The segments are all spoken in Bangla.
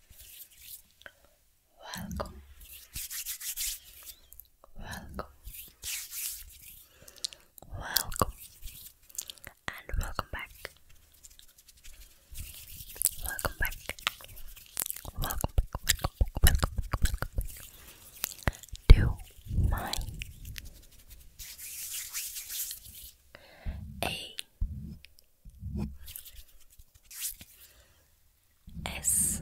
Welcome, welcome, welcome, and welcome back. Welcome back, welcome back, welcome back, welcome welcome back to A S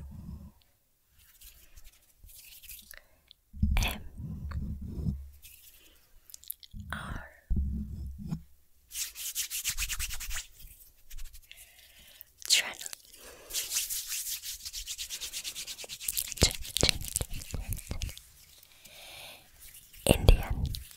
M R Channel Indian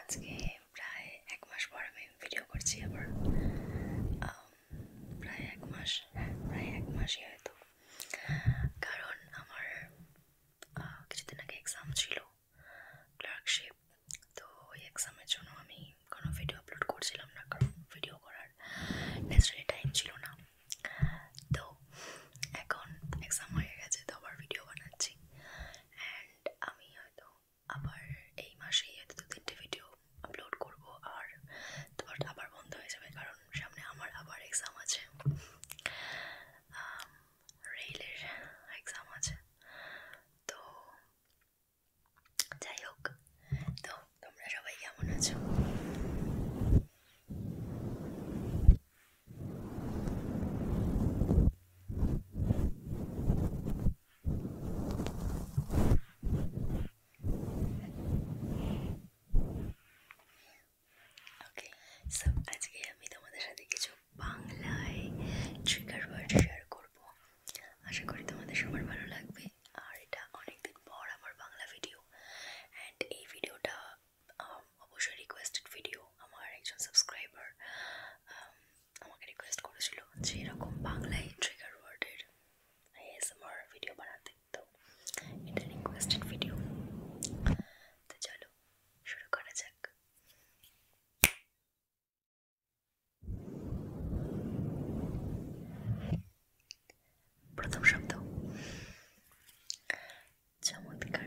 আজকে প্রায় এক মাস পর আমি ভিডিও করছি আবার প্রায় এক মাস প্রায় এক মাসই হয়তো কারণ আমার কিছুদিন আগে এক্সাম ছিল ক্লার্কশিপ তো ওই এক্সামের জন্য আমি কোনো ভিডিও আপলোড করছিলাম না কারণ ভিডিও করার ন্যাচারালি টাইম ছিল না তো তো এখন এক্সাম হয়ে গেছে তো আবার ভিডিও বানাচ্ছি অ্যান্ড আমি হয়তো আবার এই মাসেই হয়তো দু তিনটে ভিডিও আপলোড করব আর তোমার আবার বন্ধ হয়ে যাবে কারণ সামনে আমার আবার এক্সাম আছে রেলের এক্সাম আছে তো যাই হোক তো তোমরা সবাই কেমন আছো ওকে সো আজকে আমি তোমাদের সাথে কিছু বাংলায় ট্রিগার ওয়ার্ড শেয়ার করব আশা করি তোমাদের সবার ভালো লাগবে আর এটা অনেকদিন পর আমার বাংলা ভিডিও অ্যান্ড এই ভিডিওটা অবশ্যই রিকোয়েস্টেড ভিডিও আমার একজন সাবস্ক্রাইবার আমাকে রিকোয়েস্ট করেছিল যে এরকম বাংলায় ট্রিগার ওয়ার্ডের এসএমআর ভিডিও বানাতে তো এটা রিকোয়েস্টেড ভিডিও তো চলো শুরু করা যাক প্রথম শব্দ চমৎকার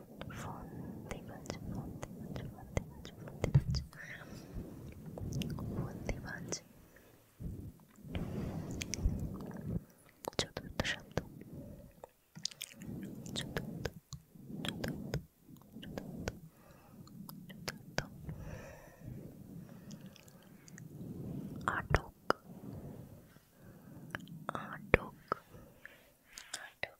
ফন্দিবাজ ফন্দিবাজ ফন্দিবাজ ফন্দিবাজ ফন্দিবাজ চতুর্থ শব্দ চতুর্থ চতুর্থ চতুর্থ চতুর্থ আটক আটক আটক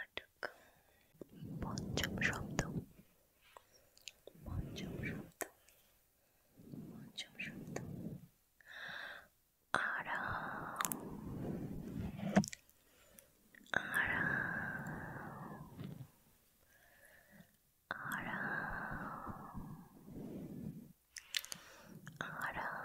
আটক পঞ্চম শব্দ পঞ্চম শব্দ পঞ্চম শব্দ আরাম আরাম আরাম আরাম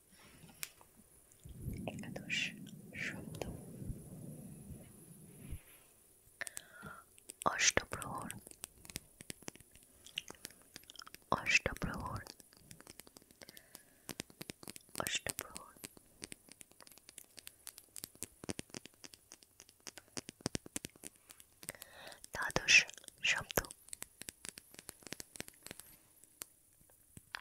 এগুলো তো শব্দ অষ্টপ্রহর অষ্টপ্রহর অষ্টপ্রহর দ্বাদশ শব্দ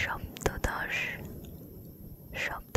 সমুদ্রতট শব্দদশ শব্দ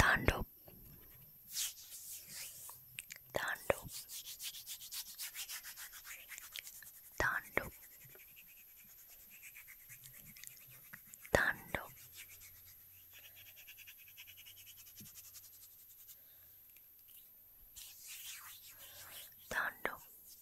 Tando Tando Tando Tando Tando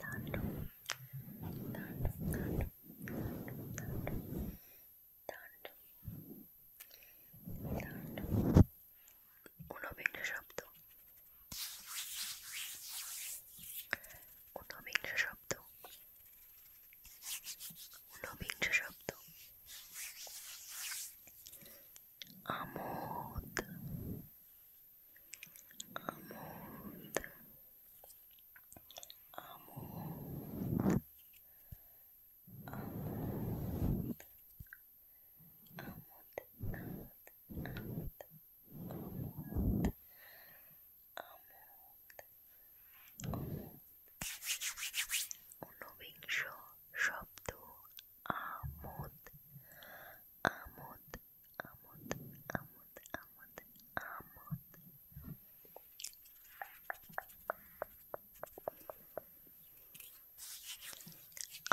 తాండు తాండు తాండు తాండు తాండు తాండు ঊনবিংশ শব্দ ঊনবিংশ শব্দ ঊনবিংশ শব্দ আমোদ আমোদ আমোদ আমোদ আমোদ আমোদ আমোদ আমোদ আমোদ ঊনবিংশ শব্দ আমোদ আমোদ আমোদ আমোদ আমোদ আমোদ আমোদ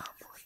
আমোদ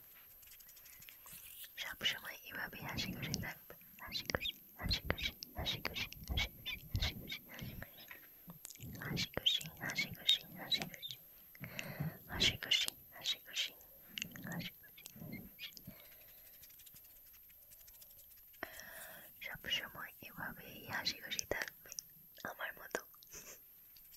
থাকবে সবসময় এভাবে হাসি খুশি থাকবে হাসি খুশি হাসি খুশি হাসি খুশি হাসি খুশি হাসি খুশি হাসি খুশি হাসি খুশি হাসি খুশি হাসি খুশি হাসি খুশি হাসি খুশি সবসময় এভাবেই হাসি খুশি থাকবে আমার মতো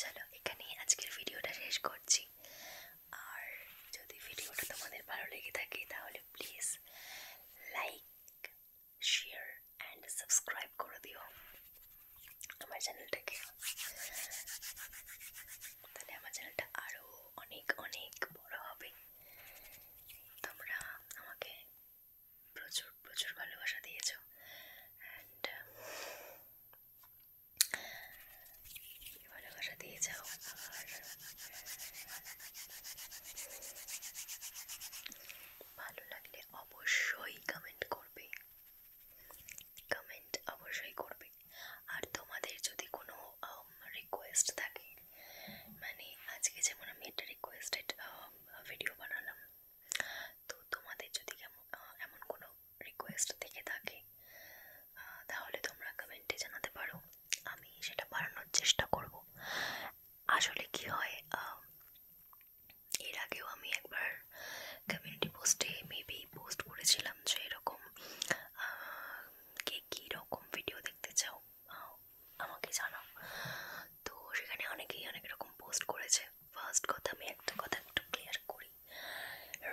চলো এখানেই আজকের ভিডিওটা শেষ করছি আর যদি ভিডিওটা তোমাদের ভালো লেগে থাকে তাহলে please like share and subscribe করে দিও আমার চ্যানেলটাকে তাহলে আমার চ্যানেলটা আরও অনেক অনেক বড় হবে তোমরা আমাকে প্রচুর প্রচুর ভালোবাসা দিয়েছ অ্যান্ড ভালোবাসা দিয়ে যাও আর ভালো লাগলে অবশ্যই কমেন্ট করবে কমেন্ট অবশ্যই করবে আর তোমাদের যদি কোনো রিকোয়েস্ট থাকে মানে আজকে যেমন আমি একটা রিকোয়েস্টেড ভিডিও um, বানালাম তো তোমাদের যদি কেমন এমন কোনো রিকোয়েস্ট থেকে থাকে তাহলে তোমরা কমেন্টে জানাতে পারো আমি সেটা বানানোর চেষ্টা করব আসলে কি হয় এর আগেও আমি একবার কমিউনিটি পোস্টে মেবি পোস্ট করেছিলাম যে এরকম কে কী রকম ভিডিও দেখতে চাও আমাকে জানাও তো সেখানে অনেকেই অনেক রকম পোস্ট করেছে ফার্স্ট কথা আমি একটা কথা একটু ক্লিয়ার করি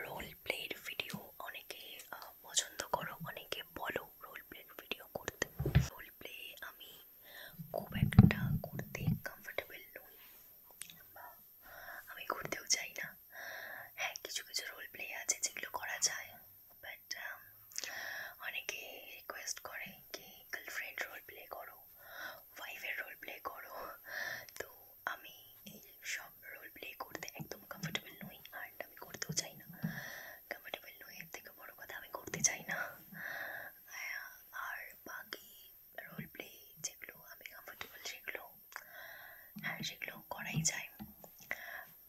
রোল প্লের ভিডিও অনেকে পছন্দ করো অনেকে বলো রোল প্লের ভিডিও করতে রোল প্লে আমি খুব একটা করতে কমফর্টেবল নই বা আমি করতেও চাই না হ্যাঁ কিছু কিছু রোল প্লে আছে যেগুলো করা যায় বাট um, অনেকে রিকোয়েস্ট করে কি গার্লফ্রেন্ড রোল প্লে করো ওয়াইফের রোল প্লে করো তো আমি এই সব রোল প্লে করতে একদম কমফোর্টেবল নই আর আমি করতেও চাই না কমফোর্টেবল নই এর থেকে বড়ো কথা আমি করতে চাই না আর বাকি রোল প্লে যেগুলো আমি কমফোর্টেবল সেগুলো হ্যাঁ সেগুলো করাই যায়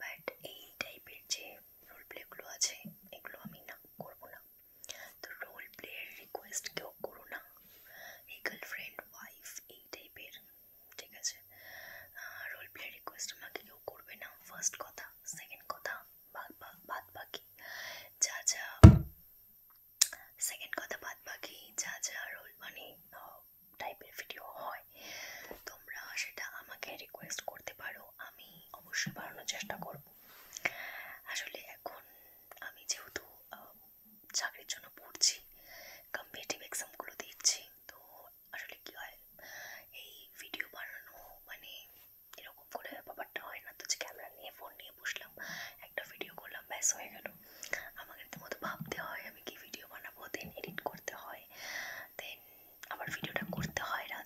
বাট এই টাইপের যে রোল প্লেগুলো আছে এগুলো আমি না করবো না তো রোল প্লেয়ের রিকোয়েস্ট কেউ করো না এই গার্লফ্রেন্ড ওয়াইফ এই টাইপের ঠিক আছে রোল প্লেয়ের রিকোয়েস্ট আমাকে কেউ করবে না ফার্স্ট কথা সেকেন্ড কথা বাদ বাকি যা যা সেকেন্ড কথা বাদ বাকি যা যা রোল মানে টাইপের ভিডিও হয় তো তোমরা সেটা আমাকে রিকোয়েস্ট করতে পারো আমি অবশ্যই বাড়ানোর চেষ্টা করব আসলে এখন আমি যেহেতু চাকরির জন্য পড়ছি কম্পিটিভ এক্সামগুলো দিচ্ছি তো আসলে কী হয় এই ভিডিও বানানো মানে এরকম করে ব্যাপারটা হয় না তো যে ক্যামেরা নিয়ে ফোন নিয়ে বসলাম একটা ভিডিও করলাম ব্যাস হয়ে গেল আমাকে তো মতো ভাবতে হয় আমি কি ভিডিও বানাবো দেন এডিট করতে হয় দেন আবার ভিডিওটা করতে হয় রাত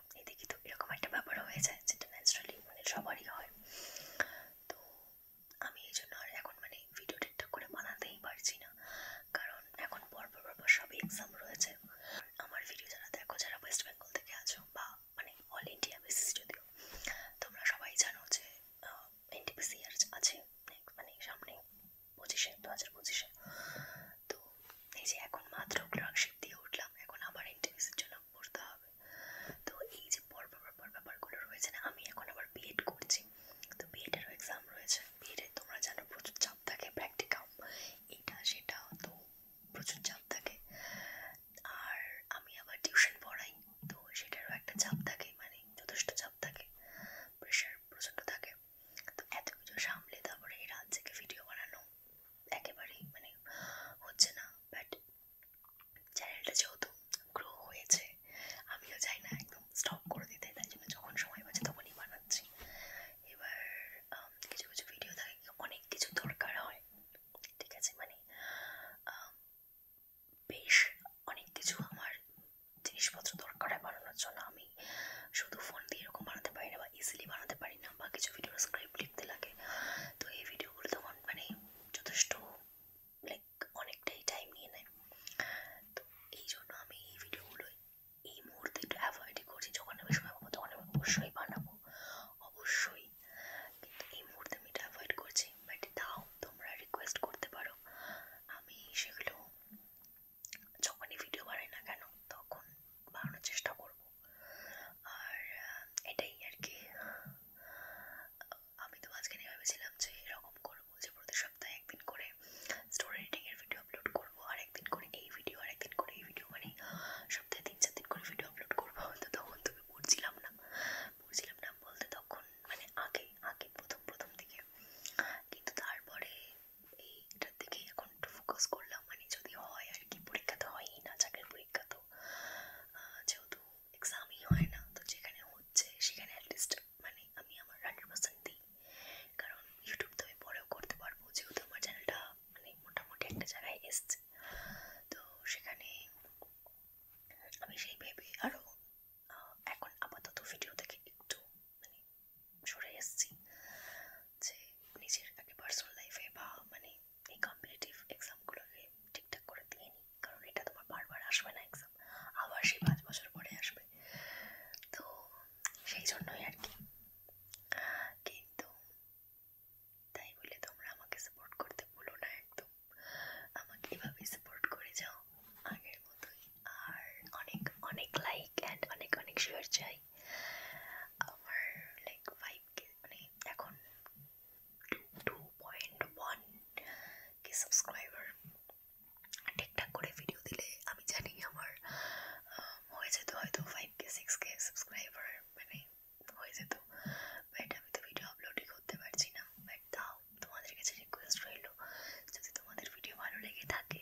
এদিকে তো এরকম একটা ব্যাপার হয়ে যায় যেটা ন্যাচারালি মানে সবারই হয় তো আমি এই জন্য আর এখন মানে ভিডিও ঠিকঠাক করে বানাতেই পারছি না কারণ এখন পরপর পরপর সবই এক্সাম রয়েছে আমার ভিডিও যারা দেখো যারা ওয়েস্ট বেঙ্গল থেকে আছো বা মানে অল ইন্ডিয়া বেসিস যদিও তোমরা সবাই জানো যে এনটিপিসি আর আছে মানে সামনে পঁচিশে দু হাজার পঁচিশে তো এই যে এখন মাত্র ক্লার্কশিপ দিয়ে উঠলাম এখন আবার এনটিপিসির জন্য ফিল আপ করতে হবে তো এই যে পর পর ব্যাপারগুলো রয়েছে না আমি এখন আবার বিএড করছি তো বিএডেরও এক্সাম রয়েছে বিএডে তোমরা জানো প্রচুর চাপ থাকে প্র্যাকটিক্যাম এটা সেটা তো প্রচুর চাপ থাকে আর আমি আবার টিউশন পড়াই তো সেটারও একটা চাপ থাকে মানে যথেষ্ট চাপ থাকে প্রেশার প্রচণ্ড থাকে তো এত কিছু সামলে তারপরে এই রাত থেকে ভিডিও বানানো একেবারেই মানে হচ্ছে না বাট চ্যানেলটা যেহেতু গ্রো হয়েছে আমিও চাই না একদম স্টপ করে দিতে তাই জন্য যখন সময় পাচ্ছে তখনই বানাচ্ছি এবার কিছু কিছু ভিডিও থাকে অনেক কিছু দরকার হয় ঠিক আছে মানে বেশ অনেক কিছু আমার জিনিসপত্র দরকার হয় বানানোর জন্য আমি শুধু ফোন দিয়ে এরকম বানাতে পারি না বা ইজিলি বানাতে পারি না বা কিছু ভিডিওর স্ক্রিপ্ট লিখতে লাগে তো এই ভিডিওগুলো তখন মানে যথেষ্ট লাইক অনেকটাই টাইম নিয়ে নেয় তো এই জন্য আমি এই ভিডিওগুলো এই মুহূর্তে একটু অ্যাভয়েডই করছি যখন আমি সময় পাবো তখন আমি অবশ্যই বানাবো অবশ্যই কিন্তু এই মুহূর্তে আমি এটা অ্যাভয়েড করছি বাট তাও তোমরা রিকোয়েস্ট করতে পারো আমি সেগুলো যখনই ভিডিও বানাই না কেন তখন বানানোর চেষ্টা করবো আর এটাই আর কি আমি তো মাঝখানে ভেবেছিলাম যে এরকম করবো যে প্রতি সপ্তাহে একদিন করে স্টোরি রিডিংয়ের ভিডিও আপলোড করবো আর একদিন করে এই ভিডিও আর একদিন করে এই ভিডিও মানে সপ্তাহে তিন চার দিন করে ভিডিও আপলোড করবো তো তখন তুমি পড়ছিলাম না পড়ছিলাম না বলতে তখন মানে আগে আগে প্রথম প্রথম দিকে কিন্তু তারপরে এইটার দিকে এখন একটু ফোকাস করলাম মানে যদি হয় আর কি পরীক্ষা তো হয়ই না চাকরির পরীক্ষা তো তো যেহেতু এক্সামই হয় না তো যেখানে হচ্ছে সেখানে অ্যাটলিস্ট মানে আমি আমার হান্ড্রেড পার্সেন্ট দিই কারণ ইউটিউব তো আমি পরেও করতে পারবো যেহেতু আমার চ্যানেলটা মানে মোটামুটি একটা জায়গায় এসছে তো সেখানে আমি সেই ভেবে আরও এখন আপাতত ভিডিও থেকে একটু মানে সরে এসছি যে নিজের আগে পার্সোনাল লাইফে বা মানে এই কম্পিটিটিভ এক্সামগুলোকে ঠিকঠাক করে দিয়ে নিই কারণ এটা তোমার বারবার আসবে না এক্সাম আবার সেই পাঁচ বছর পরে আসবে তো সেই জন্যই আর কি কিন্তু তাই বলে তোমরা আমাকে সাপোর্ট করতে ভুলো না একদম আমাকে এভাবেই সাপোর্ট করে যাও আগের মতোই আর অনেক অনেক লাইক অ্যান্ড অনেক অনেক শেয়ার চাই আমার লাইক ফাইভ কে মানে এখন two point one K subscriber ঠিকঠাক করে ভিডিও দিলে আমি জানি আমার হয়ে যেত হয়তো five K six K subscriber মানে হয়ে যেত বাট আমি তো ভিডিও আপলোডই করতে পারছি না বাট তাও তোমাদের কাছে রিকোয়েস্ট রইল যদি তোমাদের ভিডিও ভালো লেগে থাকে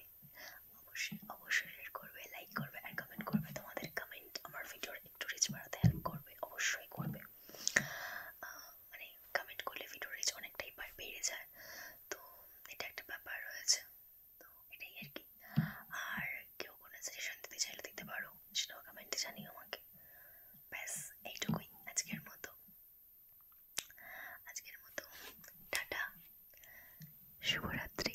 অবশ্যই অবশ্যই শেয়ার করবে লাইক করবে আর কমেন্ট করবে তোমাদের কমেন্ট আমার ভিডিওর একটু রিচ বাড়াতে হেল্প করবে অবশ্যই করবে মানে কমেন্ট করলে ভিডিও রিচ অনেকটাই বেড়ে যায় তো এটা একটা ব্যাপার রয়েছে তো এটাই আর কি আর কেউ কোনো সাজেশন দিতে চাইলে দিতে পারো সেটাও কমেন্টে জানিও আমাকে ব্যাস এইটুকুই আজকের মতো আজকের মতো টাটা শুভরাত্রি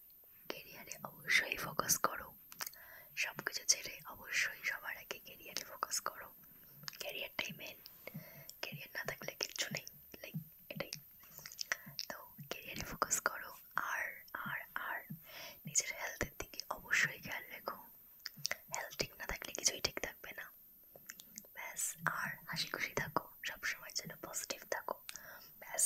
কেরিয়ারে অবশ্যই ফোকাস করো সব কিছু ছেড়ে অবশ্যই সবার আগে কেরিয়ারে ফোকাস করো ক্যারিয়ারটাই মেন ক্যারিয়ার না থাকলে কিচ্ছু নেই লাইক এটাই তো ক্যারিয়ারে ফোকাস করো আর আর আর নিজের হেলথের দিকে অবশ্যই খেয়াল রেখো হেলথ ঠিক না থাকলে কিছুই ঠিক থাকবে না ব্যাস আর হাসি খুশি থাকো সবসময় যেন পজিটিভ থাকো ব্যাস